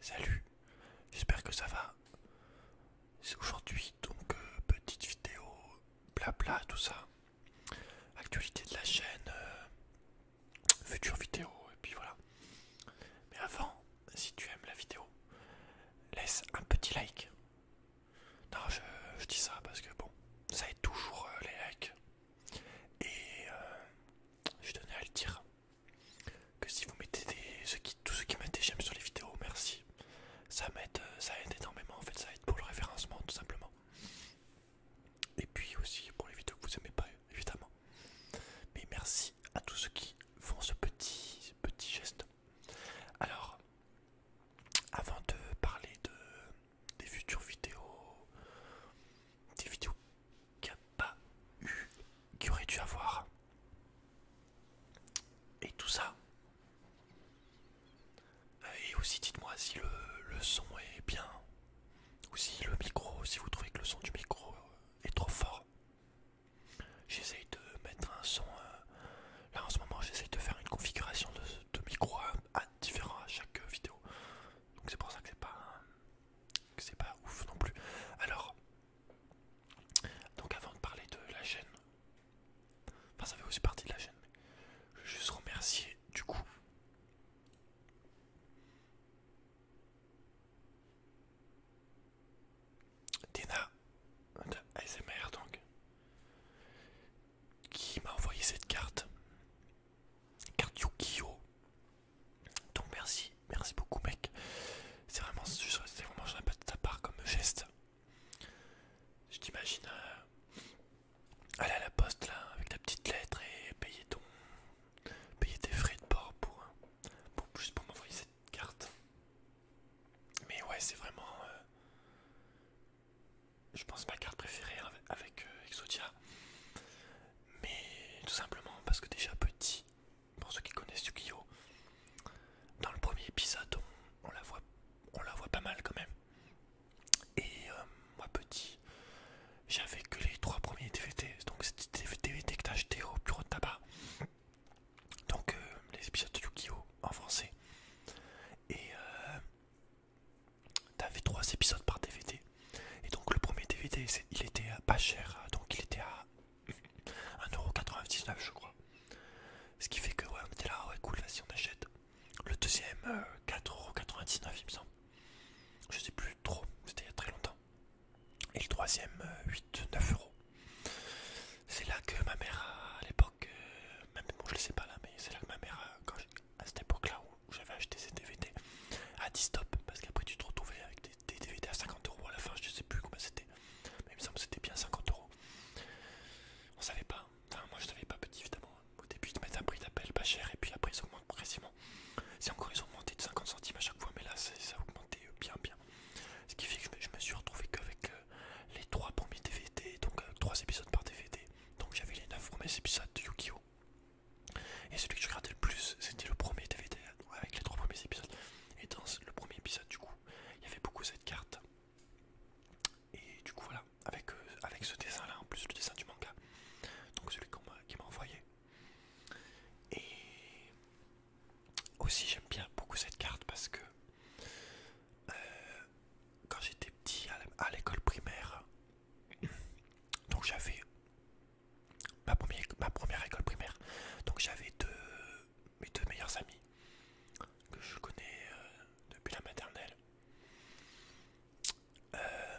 Salut, j'espère que ça va. C'est aujourd'hui donc euh, petite vidéo blabla tout ça. Actualité de la chaîne, euh, future vidéo et puis voilà. Mais avant, si tu aimes la vidéo, laisse un petit like. Non, je, dis ça parce que bon, ça aide toujours euh, les likes. Et je tenais à le dire que si vous mettez des, ce qui, tous ceux qui mettent des j'aime sur les vidéos, merci. Ça m'aide, euh, ça aide énormément en fait, ça aide pour le référencement tout simplement. Et puis aussi pour les vidéos que vous aimez pas évidemment. Mais merci à tous ceux qui font ce petit, petit geste. Alors, avant de parler de, des futures vidéos, des vidéos qu'il n'y pas eu, qu'il aurait dû avoir. Et tout ça. Euh, et aussi dites-moi si le, son est bien. Ou si le micro, si vous trouvez que le son du micro euh, est trop fort. J'essaye de mettre un son... Euh, là en ce moment j'essaye de faire une configuration de, micro à, à à chaque vidéo. Donc c'est pour ça que c'est pas... Que c'est pas ouf non plus. Alors donc avant de parler de la chaîne, enfin ça fait aussi partie de la chaîne, je veux juste remercier du coup. Dina de ASMR donc qui m'a envoyé cette carte carte Yu-Gi-Oh donc merci, merci beaucoup mec. C'est vraiment, c'est vraiment de ta part comme geste. Je t'imagine euh, aller à la poste là avec ta petite lettre et payer ton, payer tes frais de port pour, euh, juste pour m'envoyer cette carte. Mais ouais, c'est vraiment, euh, je pense ma carte préférée avec, Exodia. Mais tout simplement parce que déjà petit, pour ceux qui connaissent yu Dans le premier épisode, on, la voit, on la voit pas mal quand même. Et euh, moi petit, j'avais que les trois premiers DVD, donc c'était des DVD que acheté au bureau de tabac. Donc euh, les épisodes de en français. Et euh, t'avais trois épisodes par DVD. Et donc le premier DVD, il était pas cher, donc il était à 1,99€ je crois. Ce qui fait que ouais, on était là, ouais cool, vas-y on achète. Le deuxième, 4,99€ euh, il me semble. Je sais plus trop, c'était il y a très longtemps. Et le troisième, 8-9 euh, euros. C'est là que ma mère, à l'époque, euh, même bon, je le sais pas là, mais c'est là que ma mère, à cette époque-là où j'avais acheté ces DVD, a dit stop, parce qu'après tu te retrouvais avec des des, DVD à 50 euros à la fin, je sais plus comment c'était, mais il me semble que c'était bien 50 euros. On savait pas, enfin moi je savais pas petit évidemment. Hein. Au début ils mettre mettent un prix d'appel pas cher et puis après ils augmentent progressivement. C'est encore ils ont augmenté de 50 centimes à chaque fois, mais là ça a augmenté euh, bien bien. Ce qui fait que je me, suis retrouvé qu'avec euh, les 3 premiers DVD, donc euh, trois épisodes par DVD, donc j'avais les 9 premiers épisodes de Yu-Gi-Oh! Et celui que je regardais le plus, c'était le premier DVD avec les trois premiers épisodes. Et dans le premier épisode, du coup, il y avait beaucoup cette carte. Et du coup, voilà, avec, euh, avec ce dessin-là, en plus le dessin du manga, donc celui qu'on qui m'a envoyé. Et aussi, j'aime bien beaucoup cette carte parce que euh, quand j'étais petit à l'école primaire, donc j'avais ma, première, école primaire. Donc j'avais deux, mes deux meilleurs amis que je connais euh, depuis la maternelle. Euh,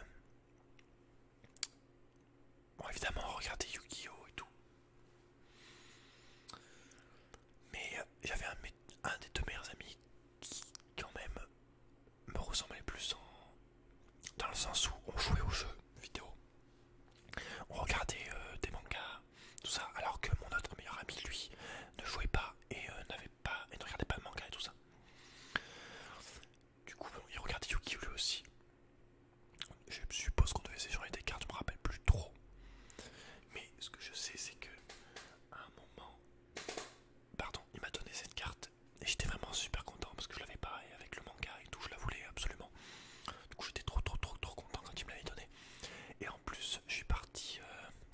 bon évidemment regardait Yu-Gi-Oh et tout. Mais euh, j'avais un, des deux meilleurs amis qui quand même me ressemblait plus dans le sens où on jouait aux jeux vidéo on regardait euh, des mangas, tout ça, alors que mon autre meilleur ami, lui, ne jouait pas et, euh, n'avait pas, et ne regardait pas le manga et tout ça. Du coup, il regardait yu lui aussi. Je suppose qu'on devait s'échanger des cartes, je me rappelle plus trop. Mais ce que je sais, c'est que un moment, pardon, il m'a donné cette carte et j'étais vraiment super content parce que je l'avais pas et avec le manga et tout, je la voulais absolument. Du coup j'étais trop trop trop trop content quand il me l'avait donné. Et en plus je suis parti euh,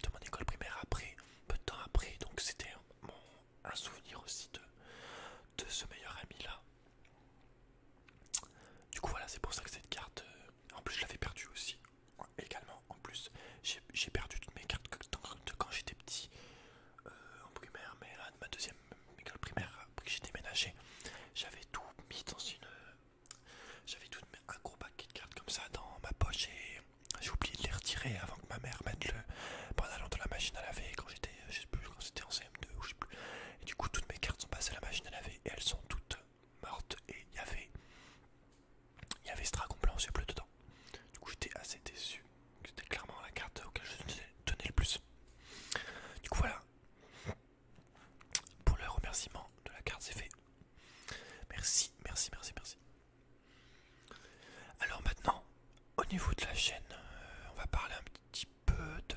de mon école primaire après, peu de temps après, donc c'était un souvenir aussi de, de ce meilleur ami là. Du coup voilà c'est pour ça que cette carte, euh, en plus je l'avais perdue aussi. Également en plus j'ai perdu toutes mes cartes quand j'étais petit euh, en primaire mais là de ma deuxième école primaire, j'ai déménagé, j'avais tout mis dans une. J'avais tout un gros paquet de cartes comme ça dans ma poche et j'ai oublié de les retirer avant que ma mère mette le dans la machine à laver quand j'étais, c'était en CM2 ou je sais plus. Et du coup, toutes mes cartes sont passées à la machine à laver et elles sont toutes mortes et il y avait. Il y avait ce dragon blanc yeux dedans. Du coup, j'étais assez déçu. C'était clairement la carte auquel je tenais le plus. Du coup, voilà pour le remerciement de la carte, c'est fait. E. Merci, merci, merci, merci. Alors maintenant, au niveau de la chaîne, euh, on va parler un petit peu de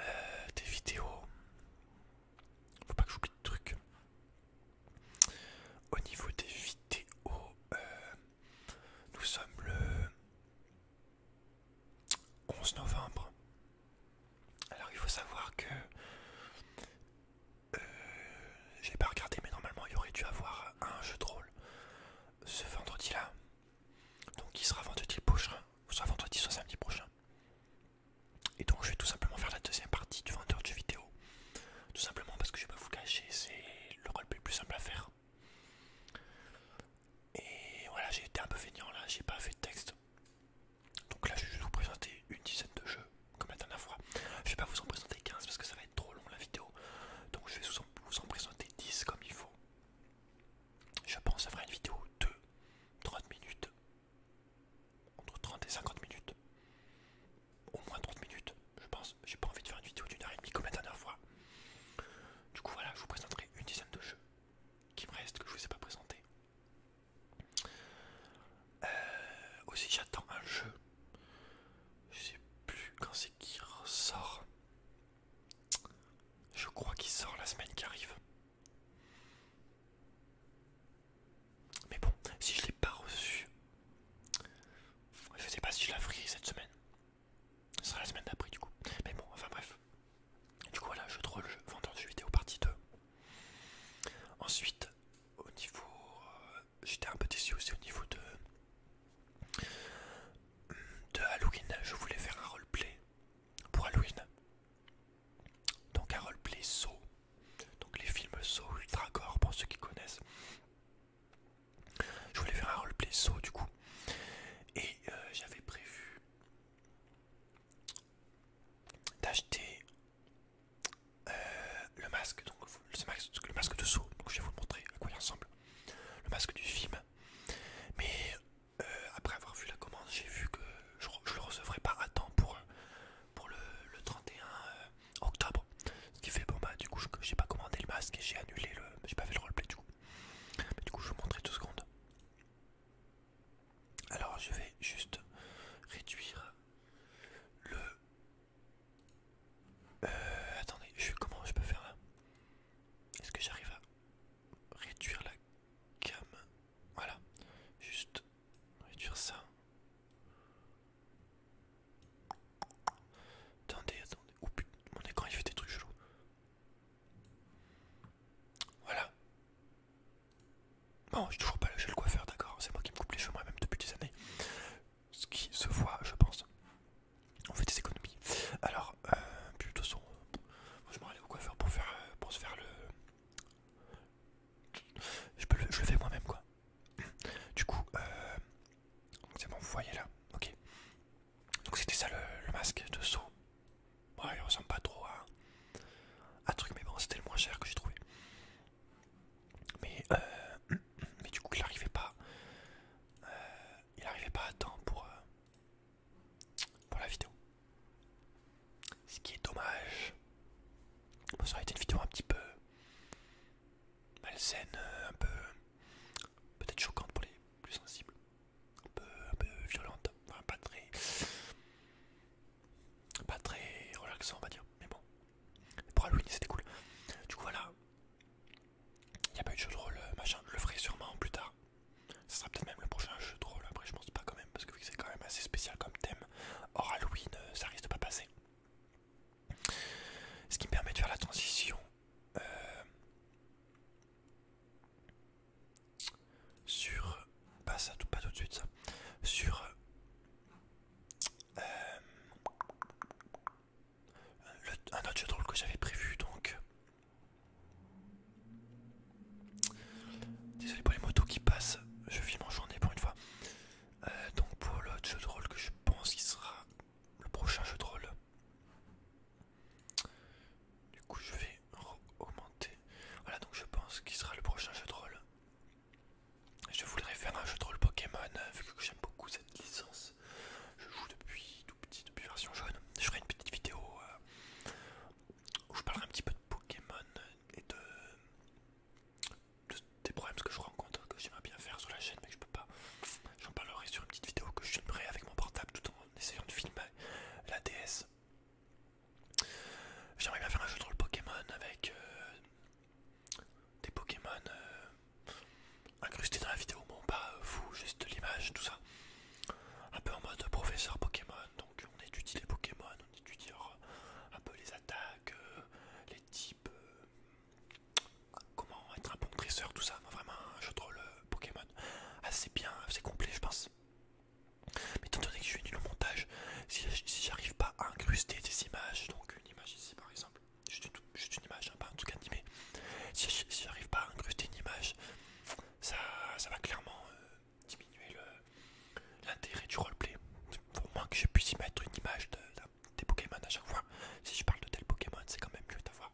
euh, des vidéos. Faut pas que j'oublie de trucs. Au niveau des vidéos, euh, nous sommes le 11 novembre. Alors il faut savoir que euh, j'ai pas regardé mais normalement il y aurait dû avoir un jeu de rôle ce vendredi là. Donc il sera vendredi prochain, soit vendredi soit samedi prochain. Et donc je vais tout simplement faire la deuxième partie du vendeur de jeux vidéo. Tout simplement parce que je vais pas vous cacher, c'est le rôle le plus simple à faire. Et voilà, j'ai été un peu fainéant là, j'ai pas fait de texte. Donc là, je vais vous présenter une dizaine de jeux, comme la dernière fois. Je vais pas vous en présenter 15 parce que ça va être trop long la vidéo. Donc je vais vous en présenter 10 comme il faut. Je pense à faire une vidéo de 30 minutes. Entre 30 et 50 minutes. Au moins 30 minutes, je pense. J'ai pas envie de faire une vidéo d'une heure et demie comme la dernière fois. Du coup voilà, je vous présenterai une dizaine de jeux qui me restent que je vous ai pas présenté. Euh, aussi j'attends un jeu. Je sais plus quand c'est qui ressort. Je crois qu'il sort la semaine qui arrive. Mais bon, si je l'ai pas reçu, je sais pas si je la cette semaine. Ce sera la semaine d'après du coup. Mais bon, enfin bref. Du coup voilà, je drôle. le jeu, vidéo partie 2. Ensuite, au niveau... Euh, j'étais un peu déçu aussi au niveau de... De Halloween, je voulais faire un roleplay pour Halloween. Donc un roleplay saut. Donc les films saut, so, ultra gore pour ceux qui connaissent. Je voulais faire un roleplay saut du coup. Et euh, j'avais prévu d'acheter euh, le masque, donc le masque, de saut. donc je vais vous montrer à quoi il ressemble. Le masque du film. Mais euh, après avoir vu la commande, j'ai vu que je, ne le recevrai pas à temps pour, pour le, 31 octobre. Ce qui fait bon bah du coup j'ai pas commandé le masque et j'ai annulé le. J'ai pas fait le roleplay du coup du coup, je vais tout ce qu'on secondes. Alors, je vais juste réduire le. Euh, attendez, je, comment je peux faire là Est-ce que j'arrive à réduire la gamme Voilà, juste réduire ça. Attendez, attendez. Oh putain, mon écran il fait des trucs chelous. Voilà. Bon, j'ai toujours pas lâché le coiffeur, d'accord C'est moi qui me coupe les cheveux moi-même depuis des années. Ce qui se voit, je pense. On fait des économies. Alors, euh, plutôt son. je vais au coiffeur pour, faire, euh, pour se faire le. Je, peux le, je fais moi-même, quoi. Du coup, euh, c'est bon, vous voyez là, ok. Donc c'était ça le, masque de saut. bon il ressemble pas trop à un truc, mais bon, c'était le moins cher que j'ai trouvé. Mais, euh, mais du coup, il n'arrivait pas, euh, il arrivait pas à temps pour, euh, pour la vidéo. Ce qui est dommage. ça aurait été une vidéo un petit peu malsaine, un peu peut-être choquante pour les plus sensibles un peu, violente, pas très, pas très relaxant on va dire, mais bon, pour Halloween c'était cool. Du coup voilà, il n'y a pas eu de jeu de euh, machin, je le ferai sûrement plus tard, ça sera peut-être même le prochain jeu de après je pense pas quand même, parce que vu que c'est quand même assez spécial comme thème, Or Halloween euh, ça risque de pas passer. Ce qui me permet de faire la transition euh, sur pas tout pas tout de suite ça sur euh, un autre jeu de rôle que j'avais prévu donc désolé pour les motos qui passent je filme en journée pour une fois euh, donc pour l'autre jeu de rôle que je pense qui sera le prochain jeu de rôle du coup, je vais augmenter. Voilà, donc je pense qu'il sera le prochain jeu de rôle. Je voudrais faire un jeu de rôle Pokémon, euh, vu que j'aime beaucoup cette licence. Je joue depuis tout petit, depuis version jaune. Je ferai une petite vidéo euh, où je parlerai un petit peu de Pokémon et de, des problèmes que je rencontre, que j'aimerais bien faire sur la chaîne, mais que je peux pas. J'en parlerai sur une petite vidéo que je avec mon portable tout en essayant de filmer la DS. J'aimerais bien faire un jeu de rôle Pokémon avec euh, des Pokémon euh, incrustés dans la vidéo, bon pas euh, fou, juste l'image, tout ça. Un peu en mode professeur Pokémon, donc on étudie les Pokémon, on étudie un peu les attaques, les types, comment être un bon dresseur, tout ça, vraiment un jeu de rôle Pokémon assez ah, bien, assez complet je pense. Mais étant donné que je suis venu au montage, si, j'arrive pas à incruster des images, donc une image ici par exemple, juste une, image, hein, pas en tout cas si, si j'arrive pas à incruster une image, ça, va clairement euh, diminuer l'intérêt du roleplay. au moins que je puisse y mettre une image de, des Pokémon à chaque fois, si je parle de tel Pokémon, c'est quand même mieux d'avoir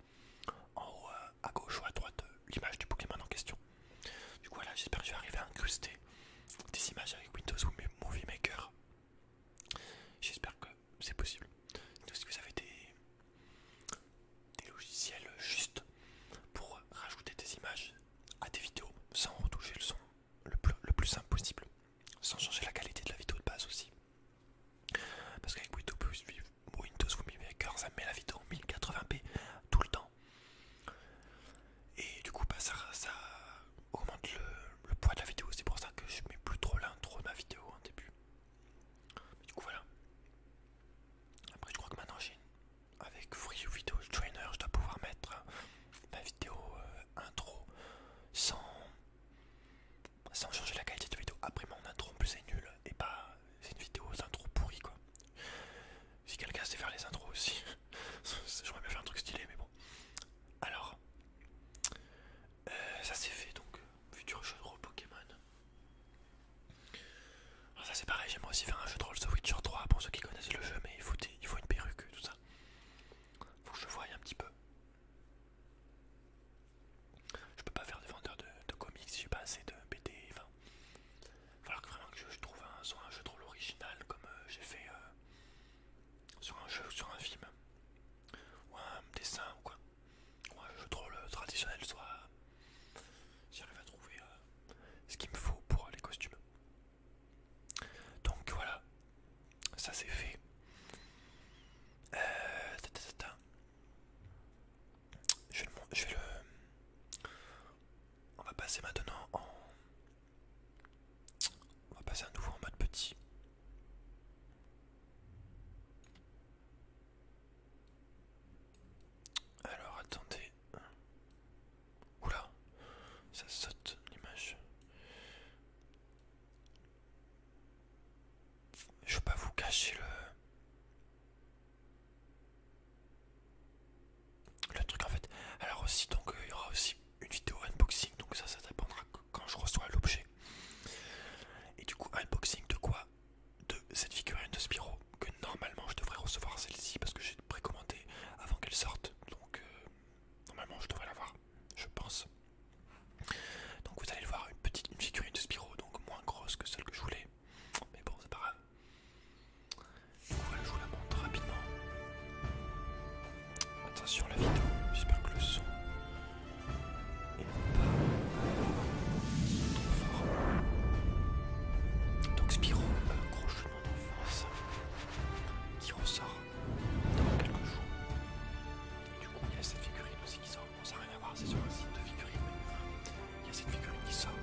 en haut euh, à gauche ou à droite euh, l'image du Pokémon en question. Du coup, voilà, j'espère que je vais arriver à incruster des images avec Windows ou Movie Maker. J'espère que c'est possible. Donc, que vous avez des, logiciels justes pour rajouter des images à des vidéos sans retoucher le son le plus, simple possible, sans changer la qualité de la vidéo de base aussi. Parce qu'avec Windows vivre Windows Movie Maker, ça met la vidéo en 1080p tout le temps. Et du coup, bah, ça, augmente le, poids de la vidéo. C'est pour ça que je mets plus trop l'intro de ma vidéo en début. du coup, voilà. Après, je crois que maintenant, avec Free Video Trainer, je dois pouvoir mettre euh, ma vidéo euh, intro sans, sans changer la qualité de vidéo. Après, mon intro en plus, c'est nul et pas. C'est une vidéo intro pourrie quoi. Si quelqu'un sait faire les intros aussi, j'aurais bien fait un truc stylé, mais bon. Alors, euh, ça c'est fait donc, futur jeu de rôle Pokémon. Alors ah, ça c'est pareil, j'aimerais aussi faire un jeu de rôle sur Witcher 3 pour ceux qui connaissent le jeu, mais il faut, une perruque, tout ça. Faut que je voie un petit peu. Je peux pas faire des vendeurs de, de comics, j'ai pas assez de BD, enfin Falloir que je, trouve un, soit un jeu trop original comme euh, j'ai fait euh, sur un jeu sur un film, ou un dessin ou quoi, ou un jeu euh, traditionnel, soit j'arrive à trouver ce qu'il me faut pour les costumes. Donc voilà, ça c'est fait. Je vais, le, On va passer maintenant en... On va passer à nouveau en mode petit. Alors attendez. Oula, ça saute l'image. Je vais pas vous cacher le... Le truc en fait. Alors aussi donc euh, il y aura aussi une vidéo unboxing donc ça ça dépendra quand je reçois l'objet. Et du coup unboxing de quoi De cette figurine de Spiro que normalement je devrais recevoir celle-ci parce que j'ai précommandé avant qu'elle sorte donc euh, normalement je devrais l'avoir je pense. Donc vous allez le voir une petite figurine de Spiro donc moins grosse que celle que je voulais mais bon c'est pas grave. Voilà, je vous la montre rapidement. Attention la vidéo, j'espère que le son est pas trop fort. Donc Spiro, un crochet de qui ressort dans quelques jours. du coup, il y a cette figurine aussi qui sort. ça n'a rien à voir, c'est sur un site de figurine. Il y a cette figurine qui sort. Donc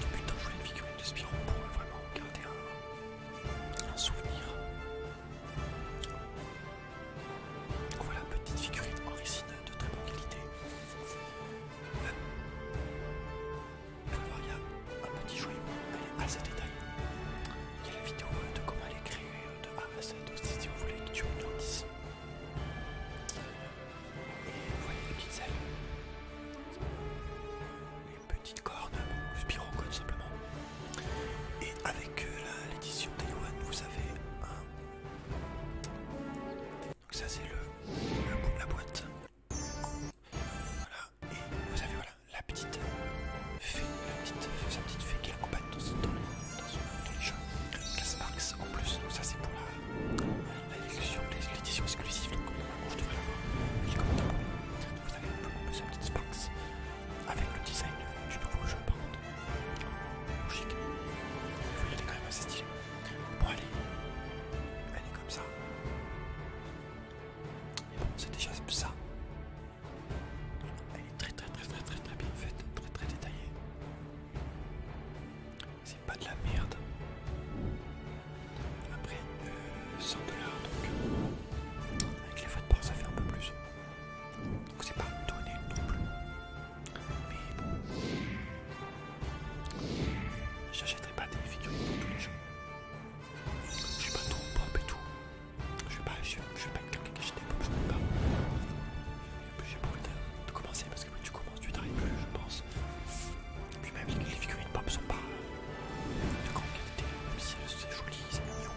oh putain, je voulais une figurine de Spirou pour vraiment garder un, souvenir. Donc voilà, petite figurine en de très bonne qualité. Euh, Alors, il y a un petit jouet, elle est assez détaillée. Il y a la vidéo de comment elle est créée de A à Z si vous voulez que tu me 10. Et voyez les petites ailes. Les petites cornes, le tout simplement. Et avec euh, l'édition Taiwan, vous avez un. Donc ça c'est le, la boîte. Voilà. Et vous avez voilà la petite fée, la petite sa petite fée qui accompagne dans, dans, son les jeux. Marx en plus. Donc ça c'est pour la l'édition exclusive, donc je euh, devrais l'avoir. comme un vous avez un peu ce petit Spax avec le design du nouveau jeu par contre. Logique. Il faut y est quand même assez stylé. Bon allez, elle est comme ça. Et bon, c'est déjà ça. Elle est très très très très très très bien faite, très très détaillée. C'est pas de la merde. Après, 100 euh, dollars donc. Avec les frais de ça fait un peu plus. Donc c'est pas donné non plus. Mais bon. J'achèterai pas des figurines pour tous les jours. Je suis pas trop pop et tout. Je vais pas, je, vais pas quelqu'un qui achète des pop, je n'aime pas. J'ai pas envie de, de commencer tu commences, tu commences du je pense. Et puis même les figurines pop sont pas de grande qualité, même si c'est joli, c'est mignon,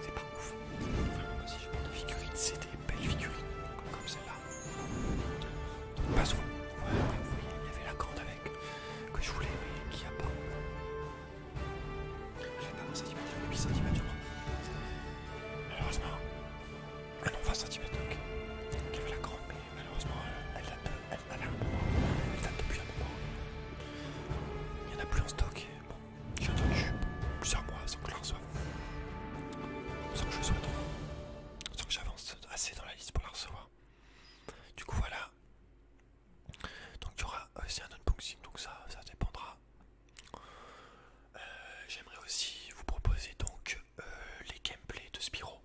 c'est pas ouf. Enfin, si je prends des figurines, c'est des belles figurines, comme celle-là. Pas souvent. Ouais, vous voyez, il y avait la corde avec que je voulais, mais qu'il n'y a pas. Je vais pas 20 cm, puis cm, je crois. Malheureusement, ah non, 20 cm, ok. Il avait la grande, mais malheureusement, elle date, elle, elle, elle, elle date depuis un moment. Il n'y en a plus en stock. Bon, j'ai attendu plusieurs mois sans que je la reçoive. Sans que je le souhaite sans que j'avance assez dans la liste pour la recevoir. Du coup, voilà. Donc, il y aura aussi un unboxing, donc ça, dépendra. Euh, j'aimerais aussi vous proposer donc euh, les gameplays de Spyro.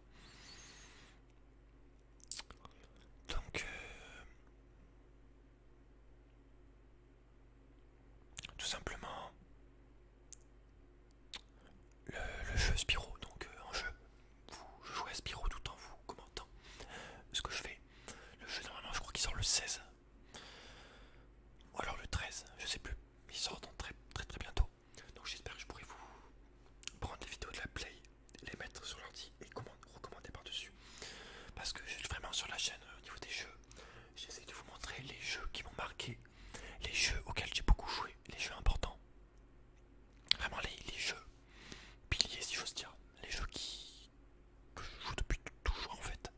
Donc euh, tout simplement le, jeu Spyro, donc en euh, jeu, je jouez à Spyro tout en vous commentant ce que je fais. Le jeu normalement je crois qu'il sort le 16 ou alors le 13, je sais plus, il sort très très très bientôt. Donc j'espère que je pourrai vous prendre les vidéos de la play, les mettre sur l'ordi et recommander par-dessus. Parce que vraiment sur la chaîne euh, au niveau des jeux, j'essaie de vous montrer les jeux qui m'ont marqué, les jeux auxquels j'ai beaucoup joué, les jeux importants. Vraiment les, jeux piliers si j'ose dire, les jeux qui, que je joue depuis toujours en fait.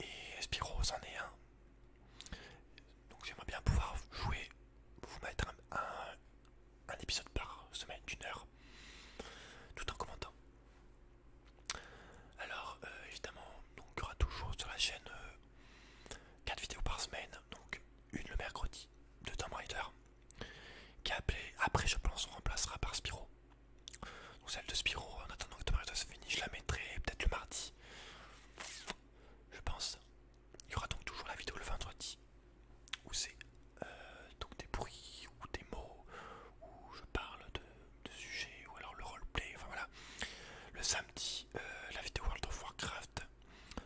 Et Spyro c'en est un, donc j'aimerais bien pouvoir jouer, vous mettre un, épisode par semaine d'une heure, tout en commentant. Alors euh, évidemment, donc, il y aura toujours sur la chaîne 4 euh, vidéos par semaine, donc une le mercredi de Tomb Raider, qui est appelée, après je pense on remplacera par Spiro. Donc celle de Spiro, en attendant que Tomb Raider se finisse, je la mettrai peut-être le mardi je pense. Il y aura donc toujours la vidéo le vendredi où c'est euh, donc des bruits ou des mots où je parle de, sujets ou alors le roleplay. Enfin voilà. Le samedi, euh, la vidéo World of Warcraft.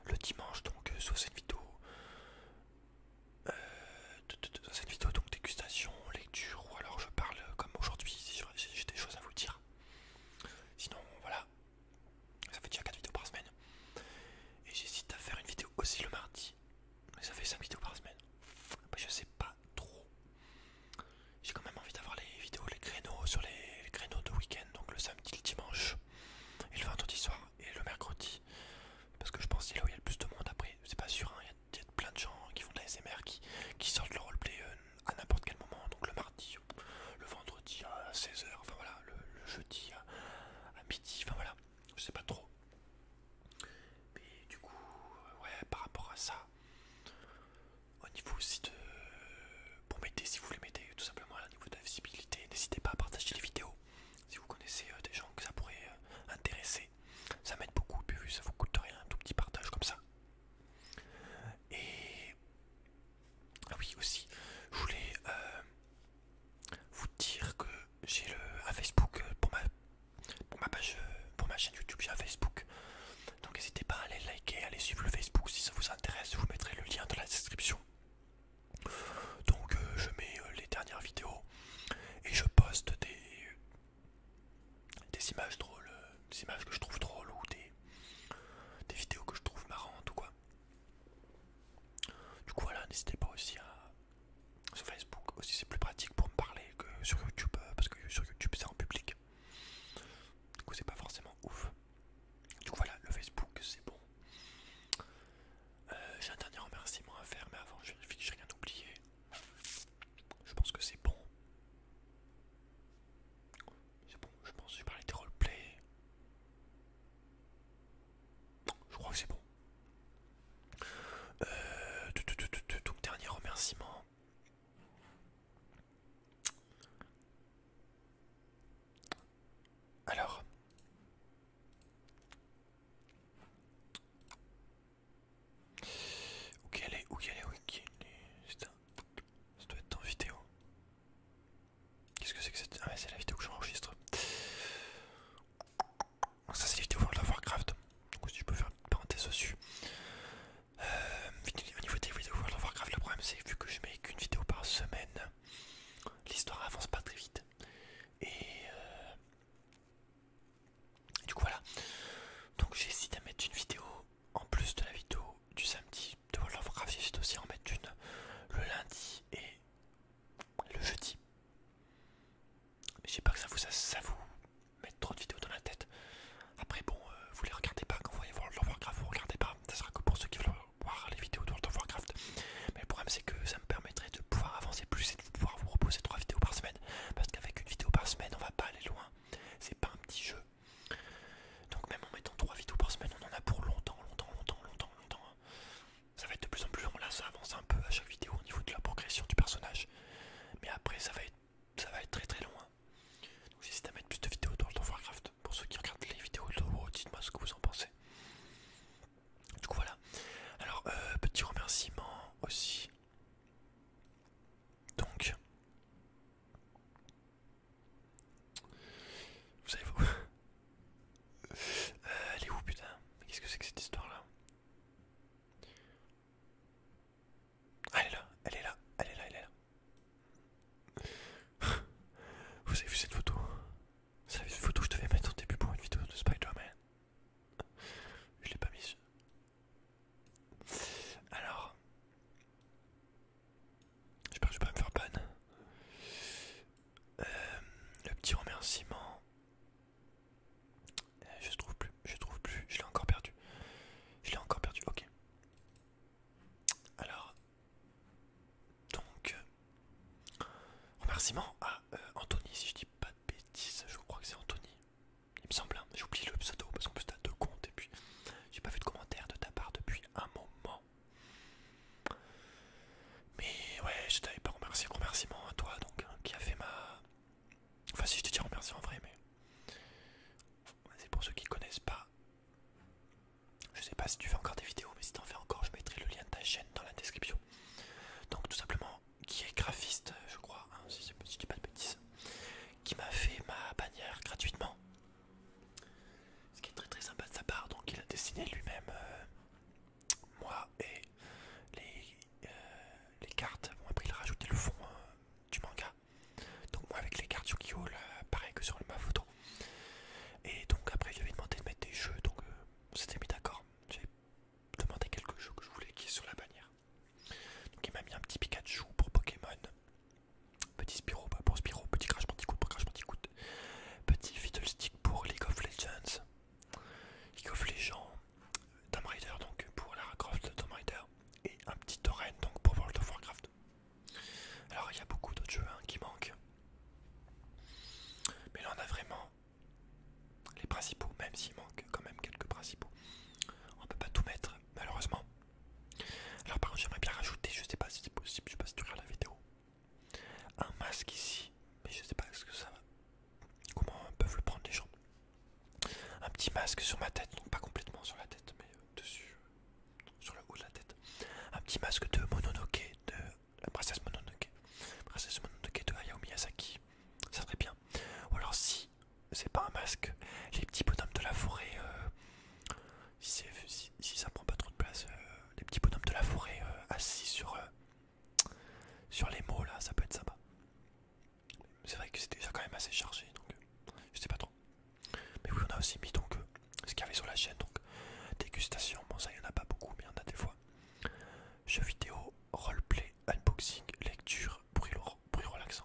Le dimanche, donc, euh, sous cette vidéo, vidéo donc dégustation, lecture ou alors je parle comme aujourd'hui j'ai des choses à vous dire. Sinon, voilà. Ça fait déjà 4 vidéos par semaine. Et j'hésite à faire une vidéo aussi le mardi. ça fait 5 vidéos par semaine. Bah, je sais pas trop. J'ai quand même envie d'avoir les vidéos, les créneaux sur les, créneaux de week-end, donc le samedi, le dimanche, et le vendredi soir, et le mercredi. Parce que je pense c'est là où il y a le plus de monde. Après, c'est pas sûr, hein. il y, a plein de gens qui font de la SMR, qui, sortent le roleplay. Euh, à n'importe quel moment, donc le mardi, le vendredi à 16h, enfin voilà, le, jeudi à, midi, enfin voilà, je sais pas trop. Mais du coup, euh, ouais, par rapport à ça, au niveau aussi de. Pour m'aider, si vous voulez mettez, tout simplement, au niveau de la visibilité, n'hésitez pas à partager les vidéos. Si vous connaissez euh, des gens que ça pourrait euh, intéresser, ça m'aide beaucoup, puis ça vous coûte rien, un tout petit partage comme ça. Et ah oui aussi, je voulais euh, vous dire que j'ai un Facebook euh, pour ma, page, euh, pour ma chaîne YouTube, j'ai un Facebook. Donc n'hésitez pas à aller liker, à aller suivre le Facebook si ça vous intéresse, je vous mettrai le lien dans la description. Donc je mets les dernières vidéos et je poste des, des images drôles, des images que je trouve drôles ou des des, vidéos que je trouve marrantes ou quoi. Du coup voilà, n'hésitez pas aussi à... Sur Facebook aussi c'est plus pratique pour me parler que sur YouTube, euh, parce que sur YouTube c'est en public. Du coup c'est pas forcément ouf. Du coup voilà, le Facebook c'est bon. Euh, j'ai un dernier remerciement à faire, mais avant je vérifie que j'ai rien oublié. Je pense que c'est bon. C'est bon, je pense que j'ai parlé des roleplays. Je crois que c'est bon. Euh, donc dernier remerciement. Alors. Ok, allez, est Où qu'elle est Où un... Ça doit être en vidéo. Qu'est-ce que c'est que cette. Ah, ouais, c'est la vidéo que j'enregistre. Ça, c'est les vidéos World of Warcraft. Donc, si je peux faire une petite parenthèse dessus. Euh, au niveau des vidéos World of Warcraft, le problème, c'est vu que je mets qu'une vidéo par semaine, l'histoire avance pas très vite. Et, euh, du coup, voilà. Donc, j'ai essayé à mettre une vidéo en plus de la vidéo du samedi de World of Warcraft, j'ai aussi en mettre une le lundi et le jeudi. Mais sais pas que ça vous, ça, vous trop de vidéos dans la tête. Après, bon, euh, vous les regardez pas quand vous voyez World of Warcraft, vous regardez pas. Ça sera que pour ceux qui veulent voir les vidéos de World of Warcraft. Mais le problème, c'est que ça me permettrait de pouvoir avancer plus et de pouvoir vous reposer trois vidéos par semaine. Parce qu'avec une vidéo par semaine, on va pas aller loin. C'est pas un petit jeu. Donc même en mettant 3 vidéos par semaine, on en a pour longtemps, longtemps, longtemps, longtemps, longtemps. Hein. Ça va être de plus en plus long, là ça avance un peu à chaque vidéo au niveau de la progression du personnage. Mais après ça va être, ça va être très très long. Hein. Donc j'hésite à mettre plus de vidéos dans World of Warcraft. Pour ceux qui regardent les vidéos de Warcraft, dites-moi ce que vous en pensez. Du coup voilà. Alors euh, petit remerciement aussi. Donc vous savez vous euh, Elle est où putain qu'est-ce que c'est que cette histoire là ah, elle est là, elle est là, elle est là, elle est là. Vous avez vu cette photo Vous avez vu cette photo que je devais mettre au début pour une vidéo de Spider-Man Je l'ai pas mise. Alors, J'espère que je vais pas me faire panne. Euh, le petit remerciement. Euh, je trouve plus, je trouve plus, je l'ai encore perdu. Je l'ai encore perdu, ok. Alors. Donc. Euh, remerciement à Anthony, si je dis pas de bêtises, je crois que c'est Anthony. Il me semble, hein. j'ai oublié le pseudo parce qu'en plus t'as deux comptes et puis j'ai pas vu de commentaire de ta part depuis un moment. Mais ouais, je t'avais pas remercié, remerciement à toi donc, hein, qui a fait ma... Enfin si je te dis remercie en vrai, mais... C'est pour ceux qui connaissent pas. Je sais pas si tu fais encore des vidéos, mais si t'en fais encore, je mettrai le lien de ta chaîne dans la description. Donc tout simplement, qui est graphiste, je crois, hein, si, si je dis pas de bêtises, qui m'a fait ma bannière gratuitement. Ce qui est très très sympa de sa part, donc il a dessiné lui-même euh, moi et euh, les, cartes. Bon après il a rajouté le fond hein, du manga. Donc moi avec les cartes sur gi pareil que sur ma photo. Et donc après il lui demandé de mettre des jeux, donc euh, on s'était mis d'accord. J'ai demandé quelques jeux que je voulais qui est sur la bannière. Donc il m'a mis un petit Pikachu pour Pokémon. Petit Spiro, pour Spiro, petit Crash Bandicoot pour Crash Bandicoot. Petit Stick pour League of Legends. League of Legends, Tomb Raider donc pour Lara Croft Tomb Raider. Et un petit Torrent donc pour World of Warcraft. Alors il y a beaucoup d'autres jeux hein, qui manquent. Mais là on a vraiment les principaux, même s'il manque quand même quelques principaux. On peut pas tout mettre malheureusement. Alors par contre j'aimerais bien rajouter, je sais pas si c'est possible, je sais pas si tu regardes la vidéo, un masque ici, mais je sais pas ce que ça va. Comment peuvent le prendre les gens Un petit masque sur ma tête, donc pas complètement sur la tête, mais euh, dessus, euh, sur le haut de la tête. Un petit masque de Mononoke, de la princesse Mononoke. de Hayao Miyazaki, ça serait bien. Ou alors si c'est pas un masque, les petits bonhommes de la forêt, euh, si, ça prend pas trop de place, euh, les petits bonhommes de la forêt euh, assis sur, euh, sur les mots là, ça peut être sympa. C'est vrai que c'était déjà quand même assez chargé, donc je sais pas trop. Mais oui, on a aussi mis donc ce qu'il y avait sur la chaîne, donc dégustation, bon ça il y en a pas beaucoup, mais il y en a des fois. Jeux vidéo, roleplay, unboxing, lecture, bruit, bruit relaxant.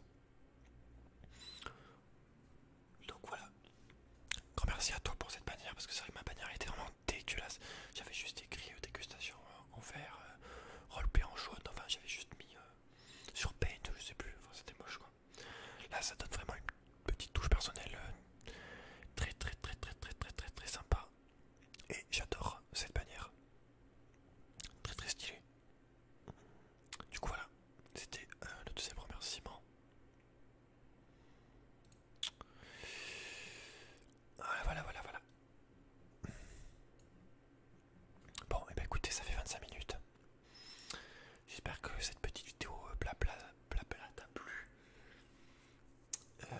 Donc voilà. Grand merci à toi pour cette bannière parce que c'est vrai que ma bannière était vraiment dégueulasse. J'avais juste écrit euh, dégustation en vert, euh, en jaune, enfin j'avais juste mis euh, sur paint, je sais plus, c'était moche quoi. Là ça donne vraiment une petite touche personnelle très très très très très très très très sympa. Et j'adore cette bannière. Très très stylée. Du coup voilà, c'était le deuxième remerciement. Voilà, ah, voilà, voilà, voilà. Bon, et eh ben, écoutez, ça fait 25 minutes. J'espère que cette petite vidéo blabla euh, bla t'a plu. Euh,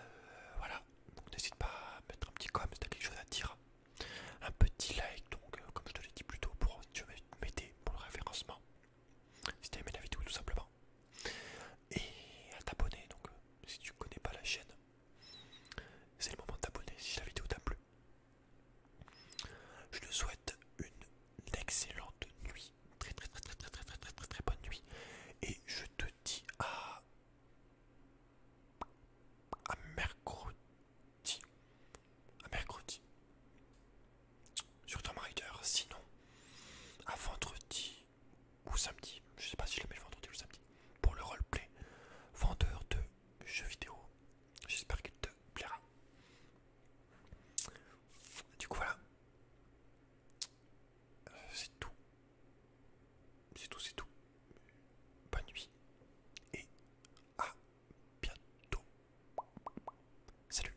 voilà, donc n'hésite pas à mettre un petit comme si t'as quelque chose à dire. Un petit like, donc, euh, comme je te l'ai dit plus tôt, pour m'aider pour le référencement si t'as aimé la vidéo tout simplement et à t'abonner donc euh, si tu connais pas la chaîne c'est le moment de t'abonner si la vidéo t'a plu je te souhaite une excellente nuit très très très très très très très très très, très bonne nuit et je te dis à à mercredi à mercredi sur ton Raider. Sinon, à vendredi ou samedi, je sais pas si je le mets le vendredi ou samedi, pour le roleplay vendeur de jeux vidéo. J'espère qu'il te plaira. Du coup, voilà. Euh, c'est tout. C'est tout, c'est tout. Bonne nuit. Et à bientôt. Salut.